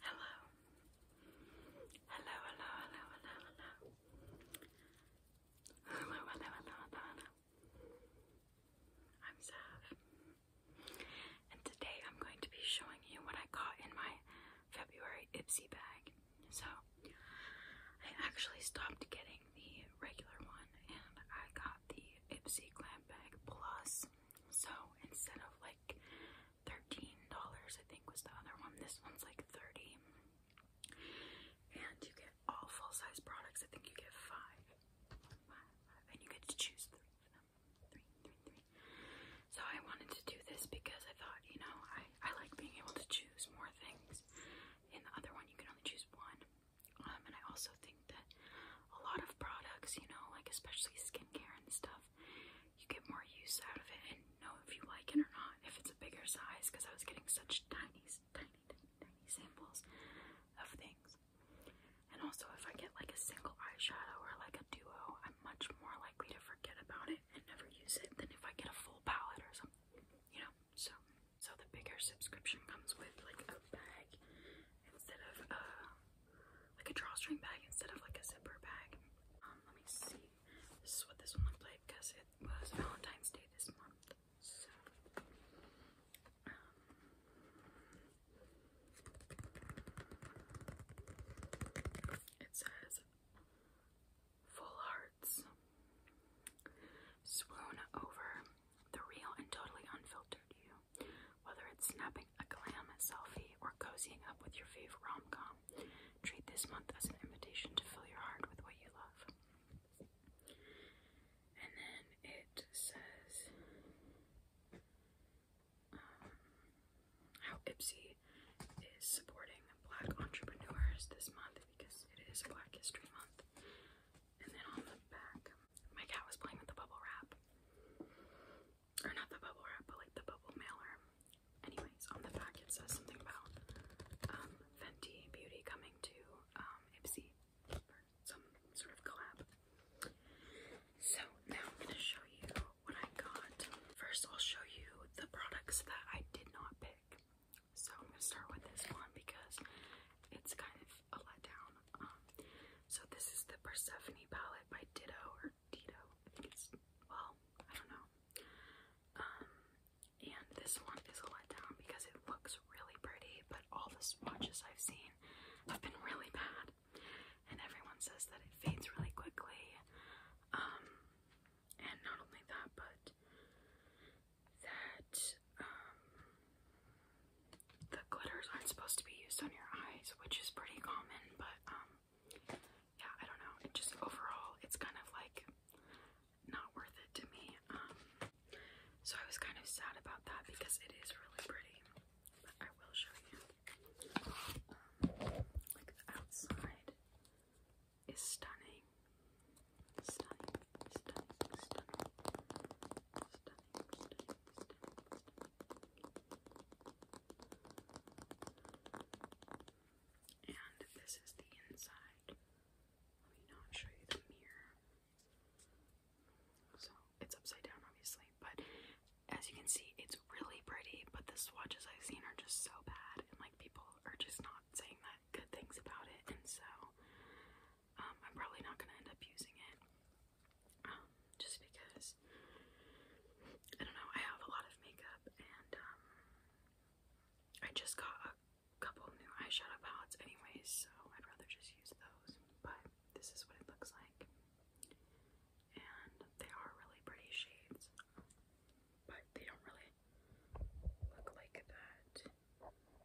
Hello. Hello, hello, hello, hello, hello. I'm Sav. And today I'm going to be showing you what I got in my February Ipsy bag. So, I actually stopped getting the regular one and I got the Ipsy Glam Bag Plus. So, instead of like thirteen dollars I think was the other one. This one's like thirty. And you get all full-size products. I think you get five. And you get to choose three of them. Three, three, three. So I wanted to do this because I thought, you know, I, I like being able to choose more things. In the other one you can only choose one. Um, and I also think that a lot of products, you know, like especially skincare and stuff, stuff, you get more use out of it and know if you like it or not, if it's a bigger size, because I was getting such tiny, tiny, tiny, samples of things. And also, if I get like a single eyeshadow or like a duo, I'm much more likely to forget about it and never use it than if I get a full palette or something, you know? So, so the bigger subscription comes with like a bag instead of uh, like a drawstring bag instead of like a zipper bag. Um, let me see. This is what this one looked like because it was Valentine's Day this month. So, um, it says full hearts swoon over the real and totally unfiltered you. Whether it's snapping a glam selfie or cozying up with your favorite rom com, treat this month as an invitation to fill your heart with what you love. And then it says um, how Ipsy is supporting black entrepreneurs this month because it is Black History Month. And then on the back, my cat was playing with the bubble wrap or not the bubble wrap, but like the bubble mailer. Anyways, on the back it says something about um, Fenty Beauty coming to um, Ipsy for some sort of collab. So now I'm gonna show you what I got. First, I'll show you the products that I did not pick. So I'm gonna start with this one because it's kind of a letdown. Um, so this is the Persephone palette by Ditto or Ditto. well, I don't know. Um, and this one is a letdown because it looks really pretty, but all the swatches I've seen have been really bad. And everyone says that it fades really quickly. Um, and not only that, but that um, the glitters aren't supposed to be used on your eyes, which is pretty common, but um yeah, I don't know. It just overall it's kind of like not worth it to me. Um so I was kind of sad about that because it is really pretty. But I will show you. like the outside is stunning. Stunning, stunning, stunning. And this is the inside. Let me not show you the mirror. So it's upside down, obviously, but as you can see, it's really pretty. But the swatches I've seen are just so bad, and like people are just not saying that good things about it, and so um, I'm probably not gonna end up using it. Um, just because I don't know, I have a lot of makeup and um, I just got a couple new eyeshadow palettes anyways, so I'd rather just use those, but this is what it looks like. And they are really pretty shades, but they don't really look like that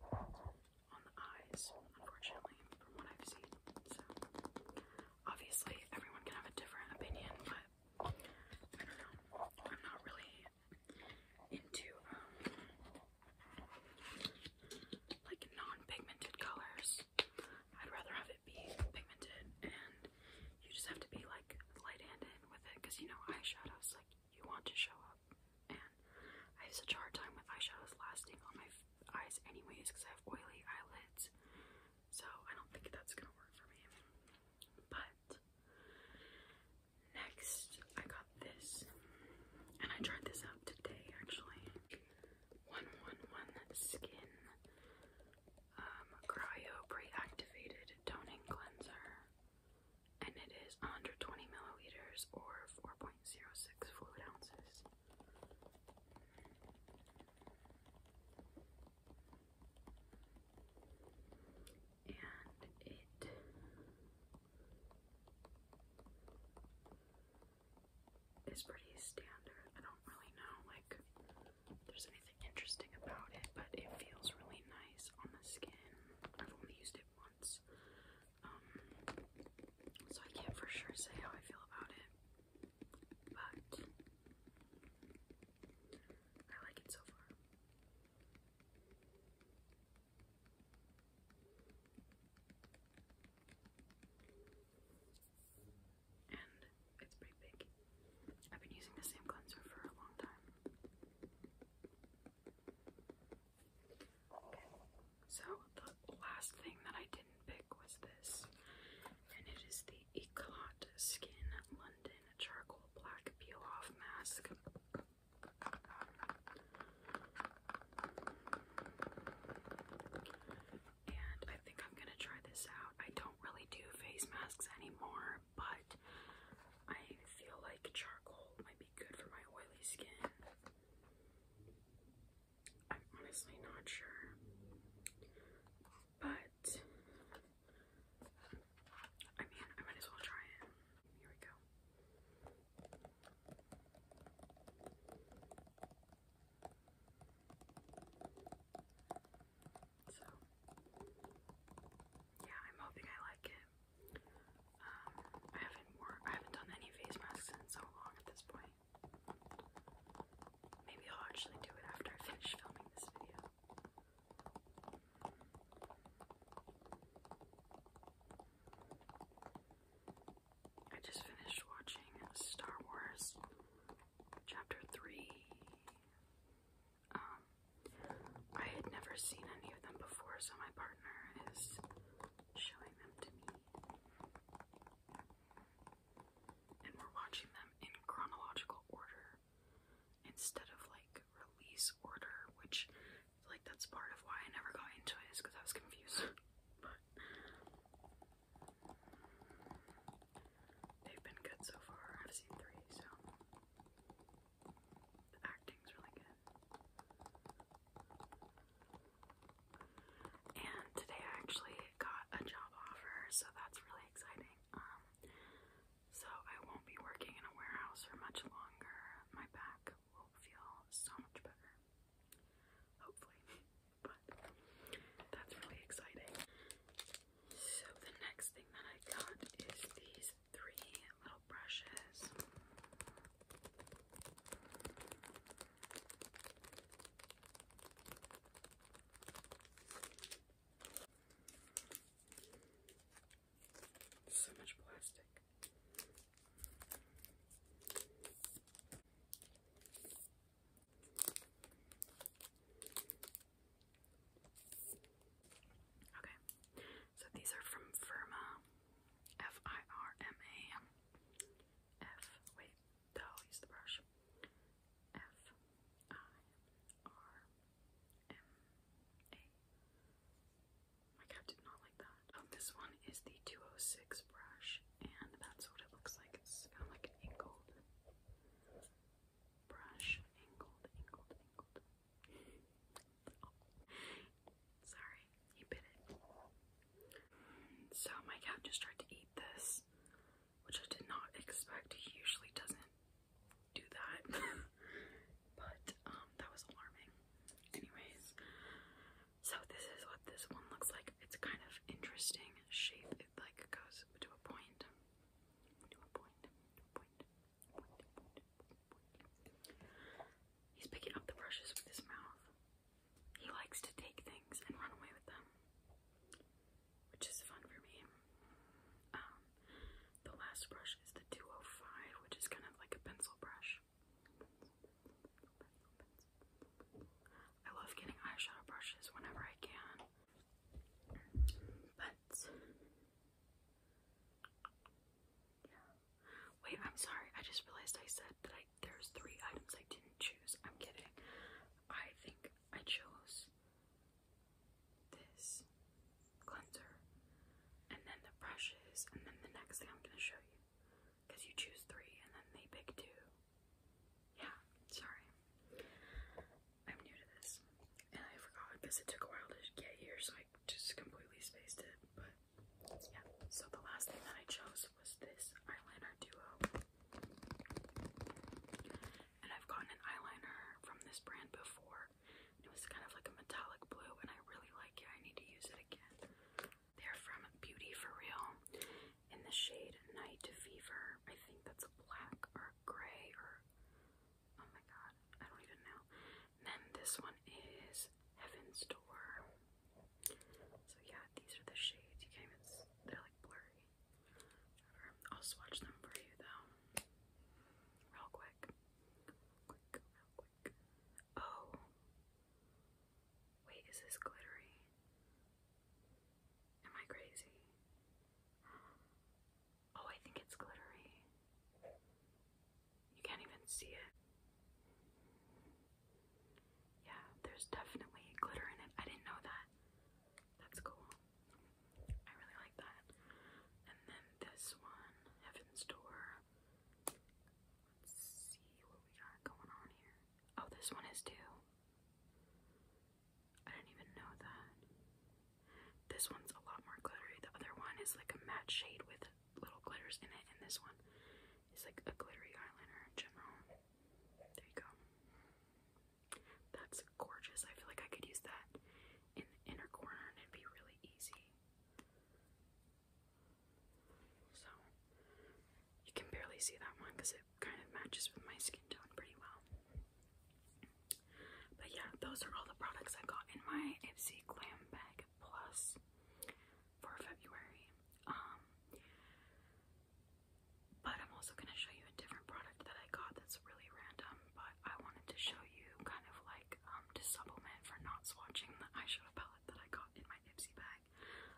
on the eyes, unfortunately, from what I've seen obviously everyone can have a different opinion, but I don't know. I'm not really into um, like non-pigmented colors. I'd rather have it be pigmented and you just have to be like light-handed with it because you know eyeshadows like you want to show up and I have such a hard time with eyeshadows lasting on my eyes anyways because I have oily eyelids. So I don't think that's gonna work for me. But next I got this and I tried this out today actually. 111 Skin um, Cryo Pre-Activated Toning Cleanser and it is 120 milliliters or 4.06 fluid ounces. And it is pretty standard. I don't really know like there's anything interesting about it, but it feels really nice on the skin. I've only used it once, um, so I can't for sure say how I feel about it, but I like it so far. And it's pretty big. I've been using the same cleanser for a long time. So the last thing that I didn't pick was this, and it is the Eclat Skin London Charcoal Black Peel Off Mask. And I think I'm gonna try this out. I don't really do face masks anymore, but I feel like charcoal might be good for my oily skin. I'm honestly not sure, but I mean, I might as well try it. Here we go. So, yeah, I'm hoping I like it. Um, I haven't worn, I haven't done any face masks in so long at this point. Maybe I'll actually do it after I finish filming this video. I just finished watching Star Wars Chapter 3. Um, I had never seen any of them before, so my partner is showing them to me. And we're watching them in chronological order instead of like release order, which like that's part of why I never got into it is because I was confused. but they've been good so far. I've seen three, so the acting's really good. And today I actually got a job offer, so that's really exciting. Um, so I won't be working in a warehouse for much longer. My back will feel so much better. Hopefully. But that's really exciting. So the next thing that I got is these three little brushes. So much plastic. Okay, so these are from Firma, F I R M A. F, wait, no, i use the brush. F, I, R, M, A. My cat did not like that. Oh, this one is the 206 brush, and that's what it looks like. It's kind of like an angled brush. Angled, angled, angled. Sorry, he bit it. So my cat just tried to eat this, which I did not expect. He usually doesn't do that. but um that was alarming. Anyways, so this is what this one looks like. It's kind of interesting shape. It like goes to a point. To a point. To a point. Point, point, point, point. He's picking up the brushes with his mouth. He likes to take things and run away with them, which is fun for me. Um, the last brush is the 205, which is kind of like a pencil brush. I love getting eyeshadow brushes whenever I can, but Wait, I'm sorry. I just realized I said that there's three items I didn't choose. I'm kidding. I think I chose this cleanser and then the brushes and then the next thing I'm gonna show you. Because you choose three and then they pick two. Yeah, sorry. I'm new to this. And I forgot because it took a while to get here, so I just completely spaced it. But yeah, so the last thing that I chose was this eyeliner duo. And I've gotten an eyeliner from this brand before. It was kind of like a metallic blue, and I really like it. I need to use it again. They're from Beauty For Real in the shade Night Fever. I think that's black or gray or. Oh my god, I don't even know then this one is Heaven's Door. So yeah, these are the shades. You can't they're like blurry. Um, I'll swatch them for you though. Real quick. Quick, real quick. Oh. Wait, is this glittery? Am I crazy? Oh, I think it's glittery. You can't even see it. Yeah, there's definitely glitter in it. I didn't know that. That's cool. I really like that. And then this one, Heaven's Door. Let's see what we got going on here. Oh, this one is too. I didn't even know that. This one's a lot more glittery. The other one is like a matte shade with little glitters in it, and this one is like a glittery eyeliner in general. There you go. That's gorgeous. I feel like I could use that in the inner corner and it'd be really easy. So, you can barely see that one because it kind of matches with my skin tone pretty well. But yeah, those are all the products I got in my Ipsy Glam bag. Plus for February. Um, but I'm also going to show you a different product that I got that's really random, but I wanted to show you kind of like um, to supplement for not swatching the eyeshadow palette that I got in my Ipsy bag.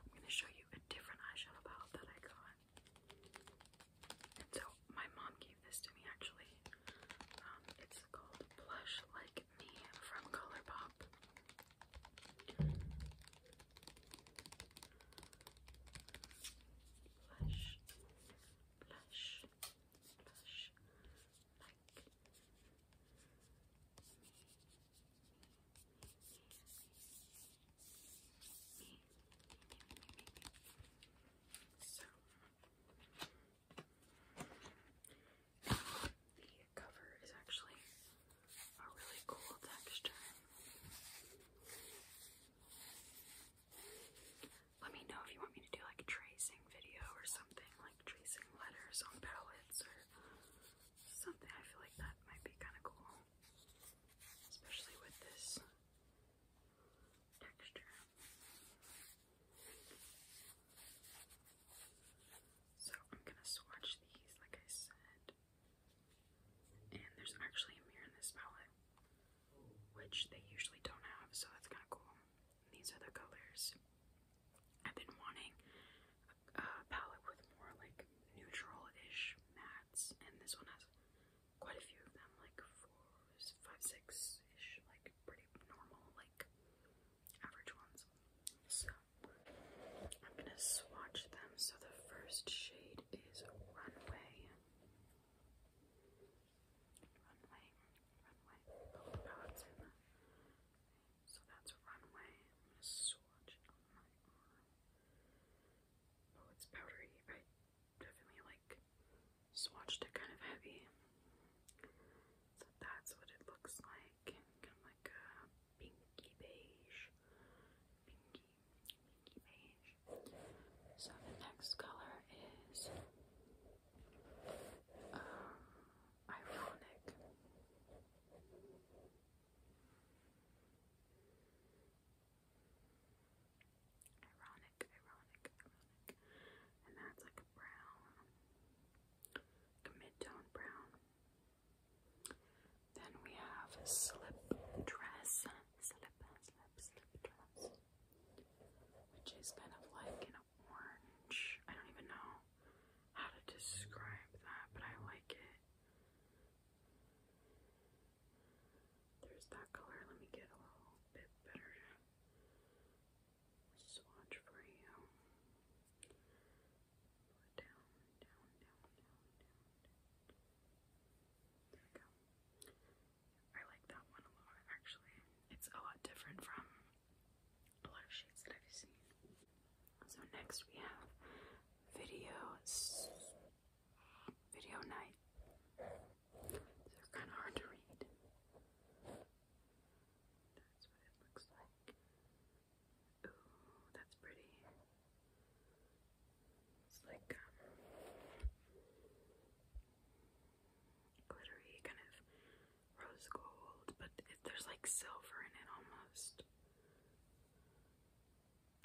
I'm going to show you a different eyeshadow palette that I got. And so my mom gave this to me actually. Um, it's called Blush Like from Colourpop. Blush, blush, blush, like me, me, me, me, me, me, me. So, the Let me know if you want me to do like a tracing video or something, like tracing letters on palettes or something. I feel like that might be kind of cool, especially with this texture. So I'm gonna swatch these, like I said. And there's actually a mirror in this palette, which they usually don't have, so that's kind of cool. And these are the colors. I've been wanting a palette with more like neutral-ish mattes, and this one has quite a few of them, like four, five, six-ish, like pretty normal, like average ones. So I'm gonna swatch them. So the first shade is Runway. Runway, Runway. Oh, so that's Runway. I'm gonna swatch it on my arm. Oh, it's powdery. I definitely like swatched it kind of heavy. So that's what it looks like kind of like a pinky beige, pinky, pinky beige. So the next color is um, Ironic, ironic, ironic. And that's like a brown like brown. Then we have slip dress, which is kind of like an orange. I don't even know how to describe that, but I like it. There's that color. Let me get a little bit better swatch for you. I like that one a lot, actually. It's a lot different from a lot of shades that I've seen. So next we have videos, video night. They're kind of hard to read. That's what it looks like. Ooh, that's pretty. It's like um, glittery, kind of rose gold, but there's like silver in it almost.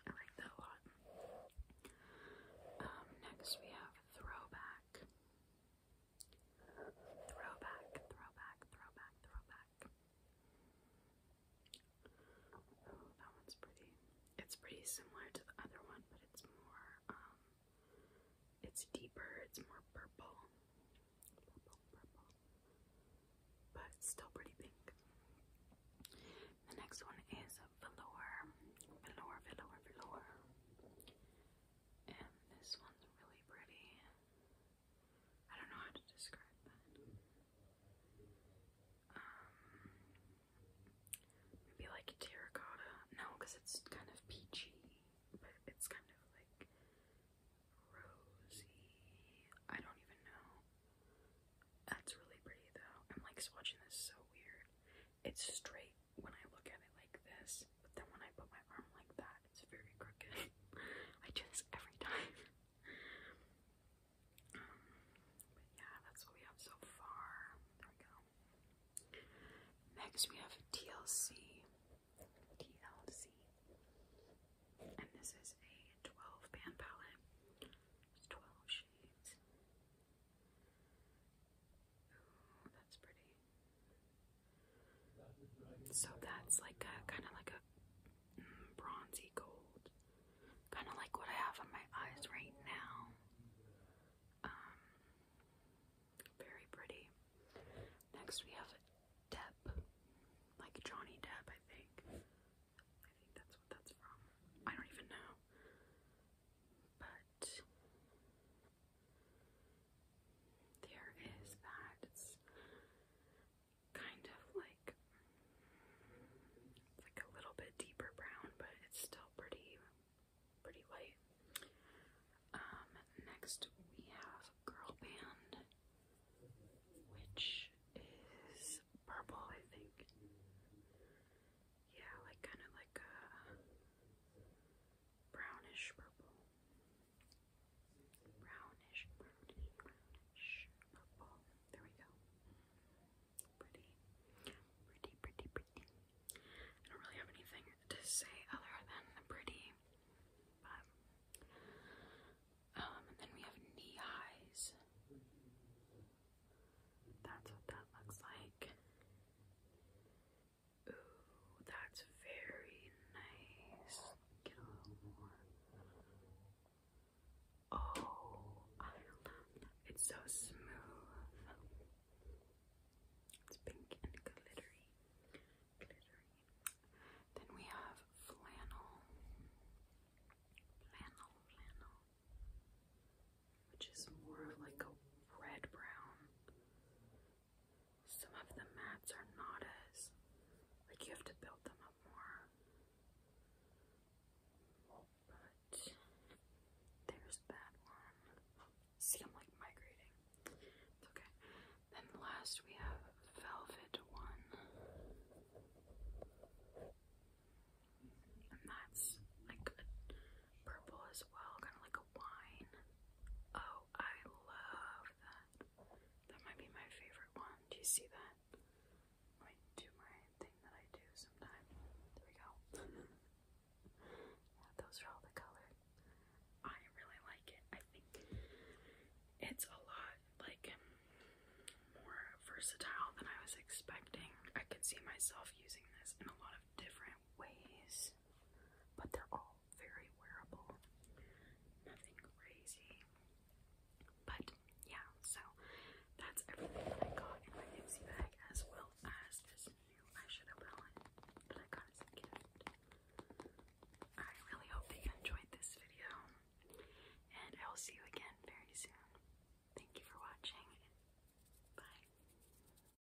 I like that a lot. Um, next we have Throwback. Throwback, throwback, throwback, throwback. Oh, that one's pretty. It's pretty similar to the other one, but it's more, um, it's deeper, it's more purple. Purple, purple. But it's still pretty pink. The next one is velour. Velour, velour, velour. And this one's really pretty. I don't know how to describe that. Um, maybe like terracotta. No, because it's kind of peachy, but it's kind of like rosy. I don't even know. That's really pretty though. I'm like swatching this so weird. It's straight when I look at it like this, but then when I put my arm like that, it's very crooked. I do this every time. Um, but yeah, that's what we have so far. There we go. Next, we have TLC. TLC. And this is a 12 pan palette. 12 shades. Ooh, that's pretty. So that's like a kind of like a mm, bronzy gold, kind of like what I have on my eyes right now. Um, very pretty. Next we have Depp, like Johnny Depp, I think. I think that's what that's from. I don't even know. But there is that. kind of like like a little bit deeper brown, but it's still pretty pretty light. Um, next we have Girl which is purple, I think. Yeah, like kind of like a brownish purple, brownish, purple. There we go. Pretty, pretty, pretty, pretty. I don't really have anything to say other than pretty, um, and then we have knee highs. That's what that looks like. Ooh, that's very nice. Get a little more. Oh, I love that. It's so smooth. It's pink and glittery. Glittery. Then we have flannel. Flannel, flannel. Which is more of like a red brown. Some of the mats are not as, like, you have to build them up more. But there's that one. See, I'm like migrating. It's okay. Then last we have Velvet One. And that's like purple as well, kind of like wine. Oh, I love that. That might be my favorite one. Do you see that? Let do my thing that I do sometime. There we go. those are all the color. I really like it. I think it's a lot like more versatile than I was expecting. I could see myself using this in a lot of different ways but they're all very wearable. Nothing crazy. But yeah, so that's everything that I got in my Nipsey bag as well as this new eyeshadow palette that I got as a gift. I really hope that you enjoyed this video and I will see you again very soon. Thank you for watching. Bye.